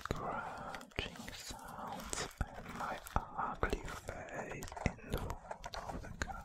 Scratching sounds and my ugly face in front of the car.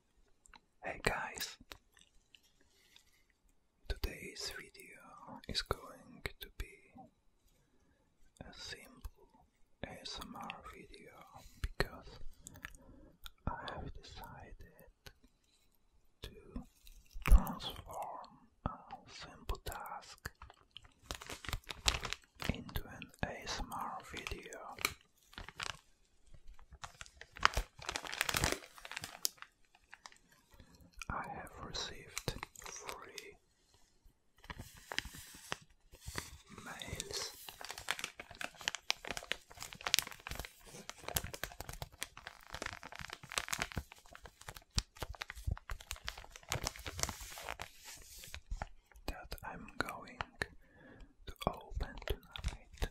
Hey guys! Today's video is going to be a simple ASMR video because I have decided to transform a simple task into an ASMR video I have received three mails. That I'm going to open tonight.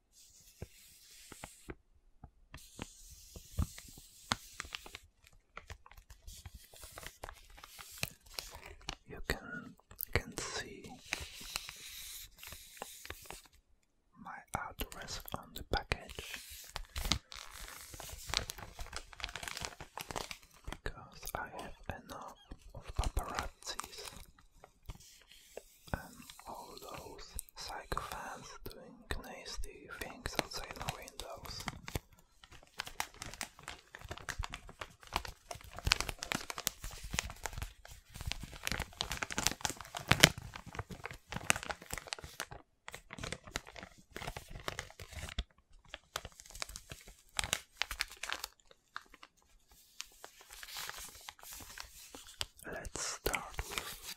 You can can see my address on the package because I have enough of paparazzi and all those psychophants doing nasty things outside the windows. Let's start with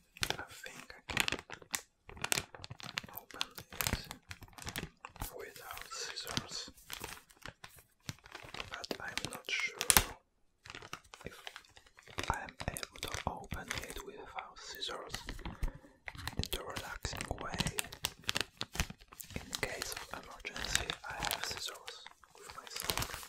I think I can open it without scissors, but I'm not sure if I'm able to open it without scissors in the relaxing way. In case of emergency, I have scissors with myself.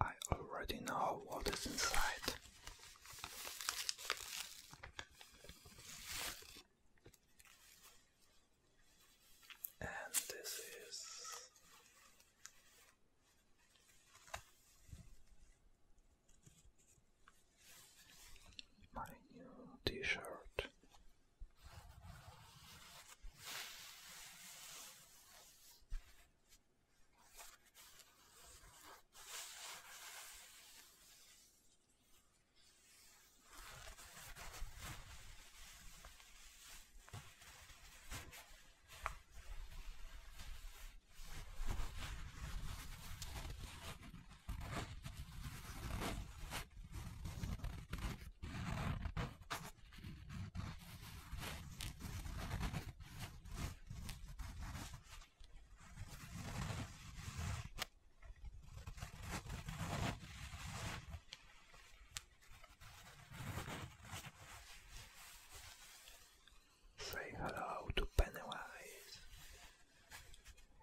I already know what is inside. And this is my new t shirt. Say hello to Pennywise.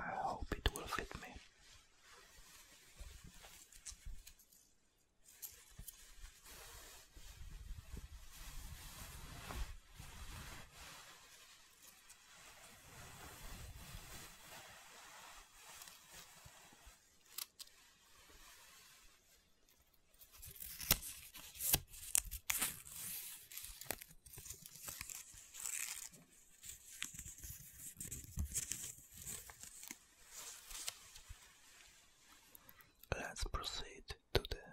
I hope it will fit me. Let's proceed to the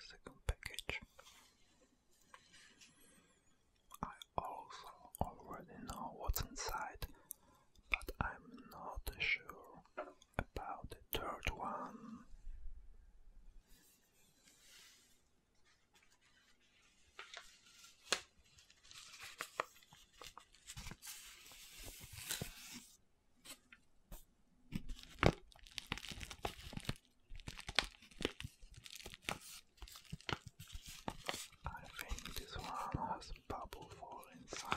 second package. I also already know what's inside, but I'm not sure about the third one. I think this one has bubble fall inside.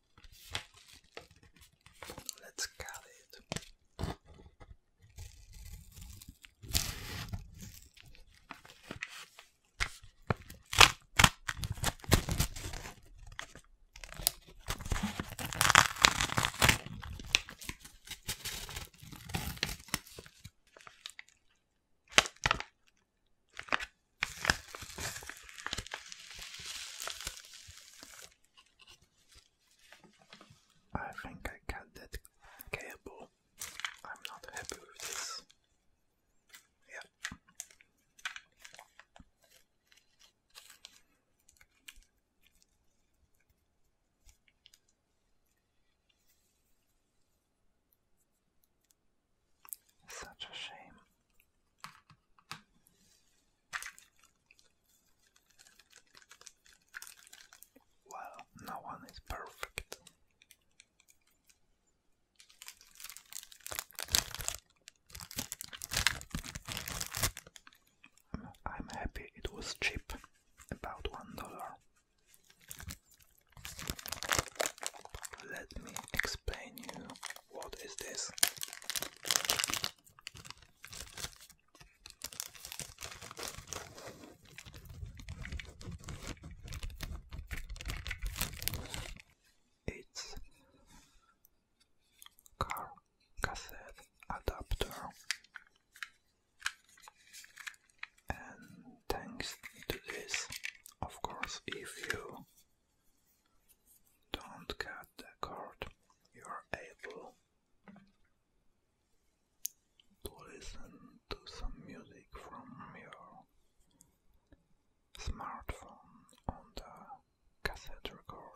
Let's cut it. I think I cut that cable. I'm not happy with this. Yeah. Such a shame. Well, no one is perfect. I'm happy it was cheap, about one dollar. Let me explain you what is this. Its car cassette adapter, and thanks to this, of course, if you don't cut the cord. You're able to listen to some music from your smartphone on the cassette recorder.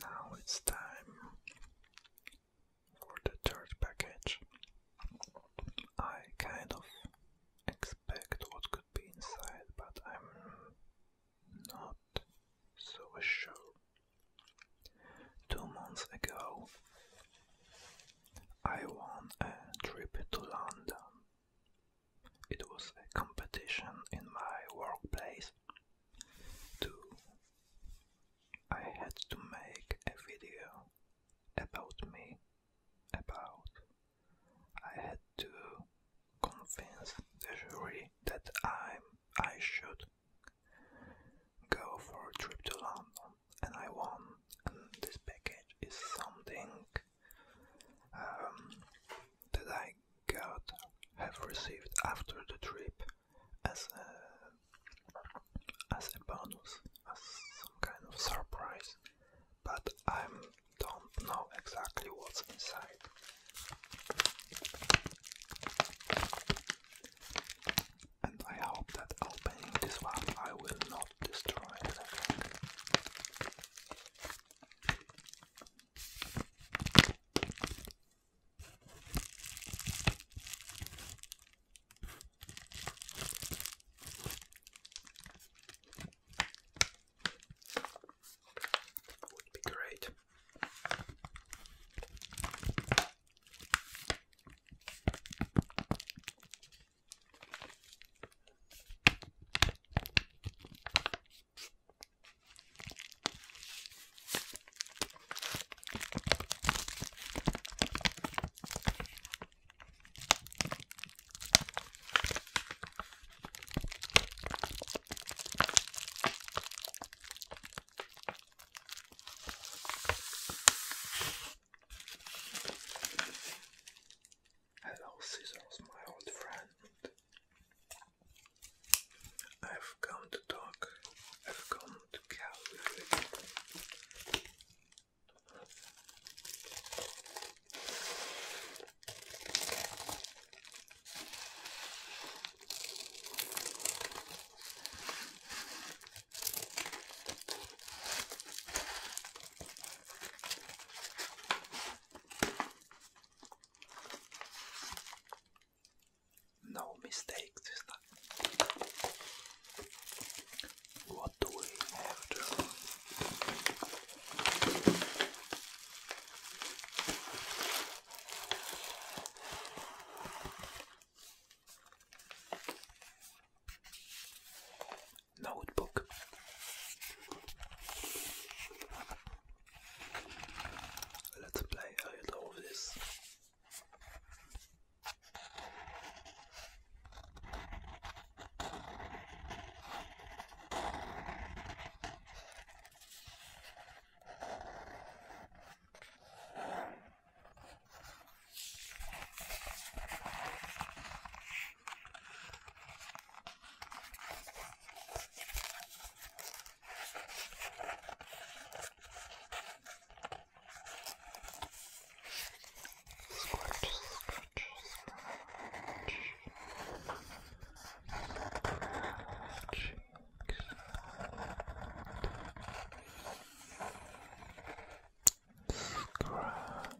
Now it's time for the third package. I kind of expect what could be inside, but I'm not so sure. Two months ago, I won a trip to London it was a competition in my workplace. Too. I had to make a video about me, about. I had to convince the jury that I'm, I should go for a trip to London, and I won. this package is something um, that I got have received after the trip as a as a bonus, as some kind of surprise, but I don't know exactly what's inside. And I hope that opening this one I will not destroy anything. Would be great. Hello, Scissors, my old friend. I've come to talk, I've come to calculate. No mistakes. What do we have to notebook. Let's play a little of this.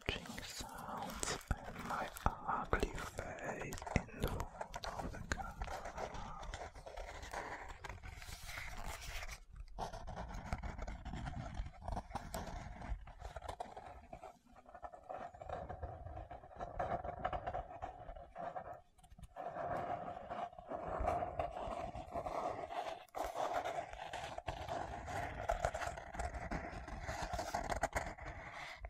Scratching sounds and my ugly face in the of the car.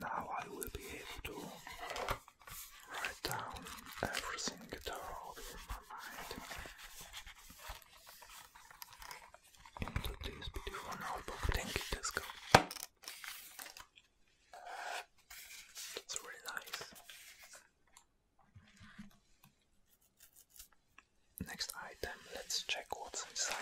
Now I will be able to write down everything that all in my mind into this beautiful notebook. Thank you, Tesco. It's really nice. Next item, let's check what's inside.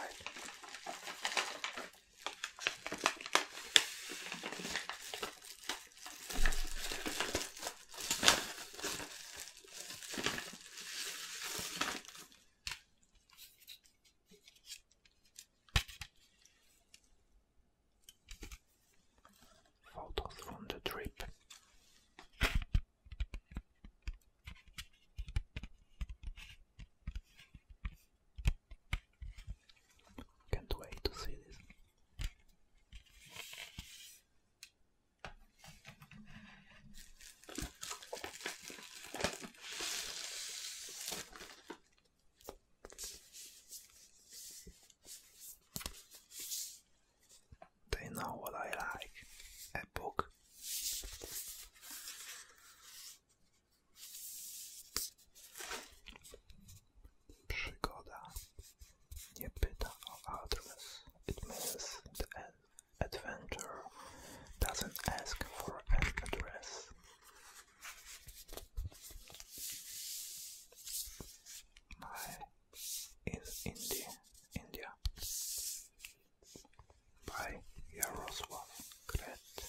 Photos from the trip. Can't wait to see this. They know what I like a book. Przygoda nie pyta o address. It means adventure doesn't ask for an address by in India, India by Yaroslav Kret.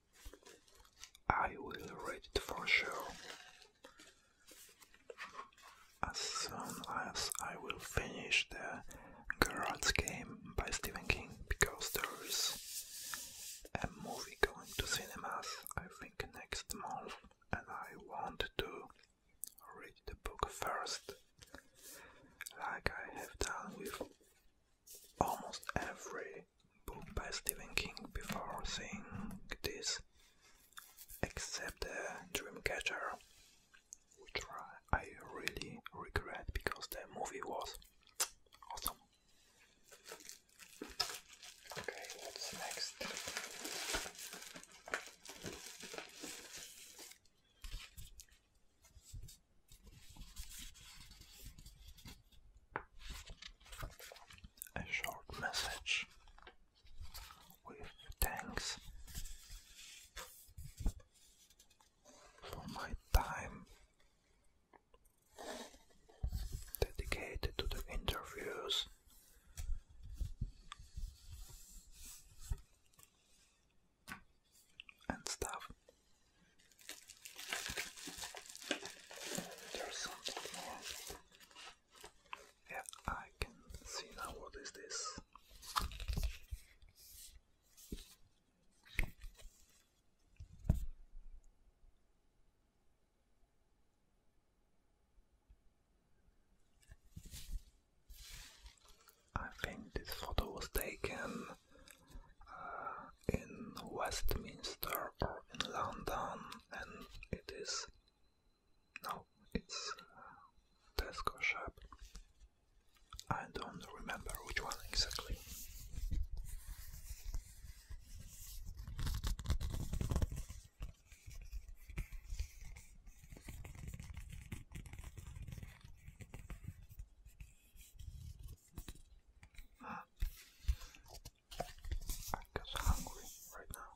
I will read it for sure. As soon as I will finish the Gerard's Game by Stephen King, because there's a movie going to cinemas, I think, next month, and I want to read the book first, like I have done with almost every book by Stephen King before seeing this, except uh, Dreamcatcher, which I really regret because the movie was awesome. Okay, what's next? a short message with thanks for my time dedicated to the interviews. And stuff. There's something Yeah, I can see now what is this. I think this photo was taken in Westminster or in London, and it is now it's Tesco shop. I don't remember which one exactly. I am just hungry right now.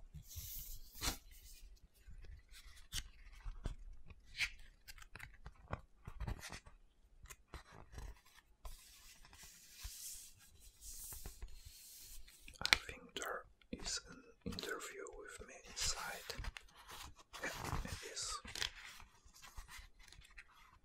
I think there is an interview with me inside. it is.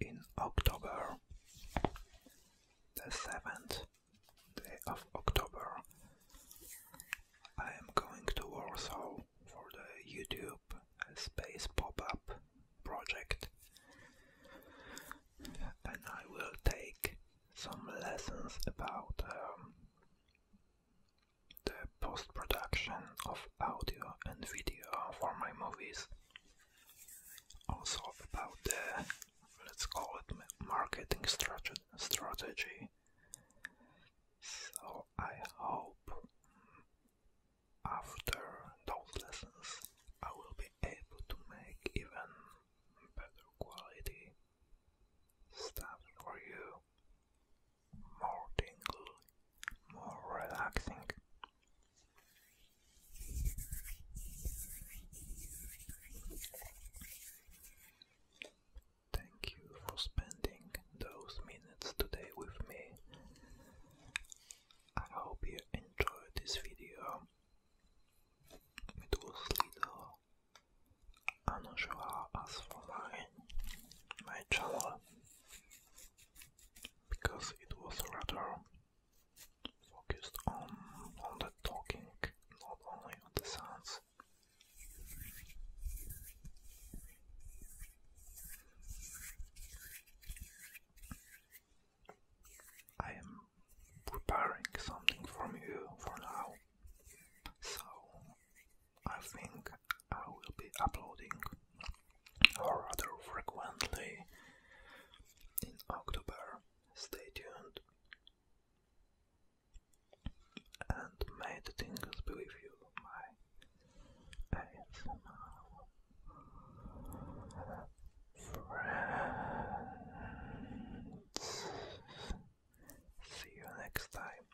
In October, the seventh day of October, I am going to Warsaw for the YouTube uh, Space Pop Up project, and I will take some lessons about um, the post-production of audio and video for my movies. Also about the, let's call it marketing strategy. So I hope after those lessons I will be able to make even better quality Stuff for you. More tingle, more relaxing. Thank you for spending those minutes today with me. I hope you enjoyed this video. It was little I'm not sure as for my my channel because it was rather focused on on the talking, not only on the sounds. I am preparing something from you for now. So I think I will be uploading or rather frequently in October. Stay tuned and may the tingles be with you, my friends. See you next time.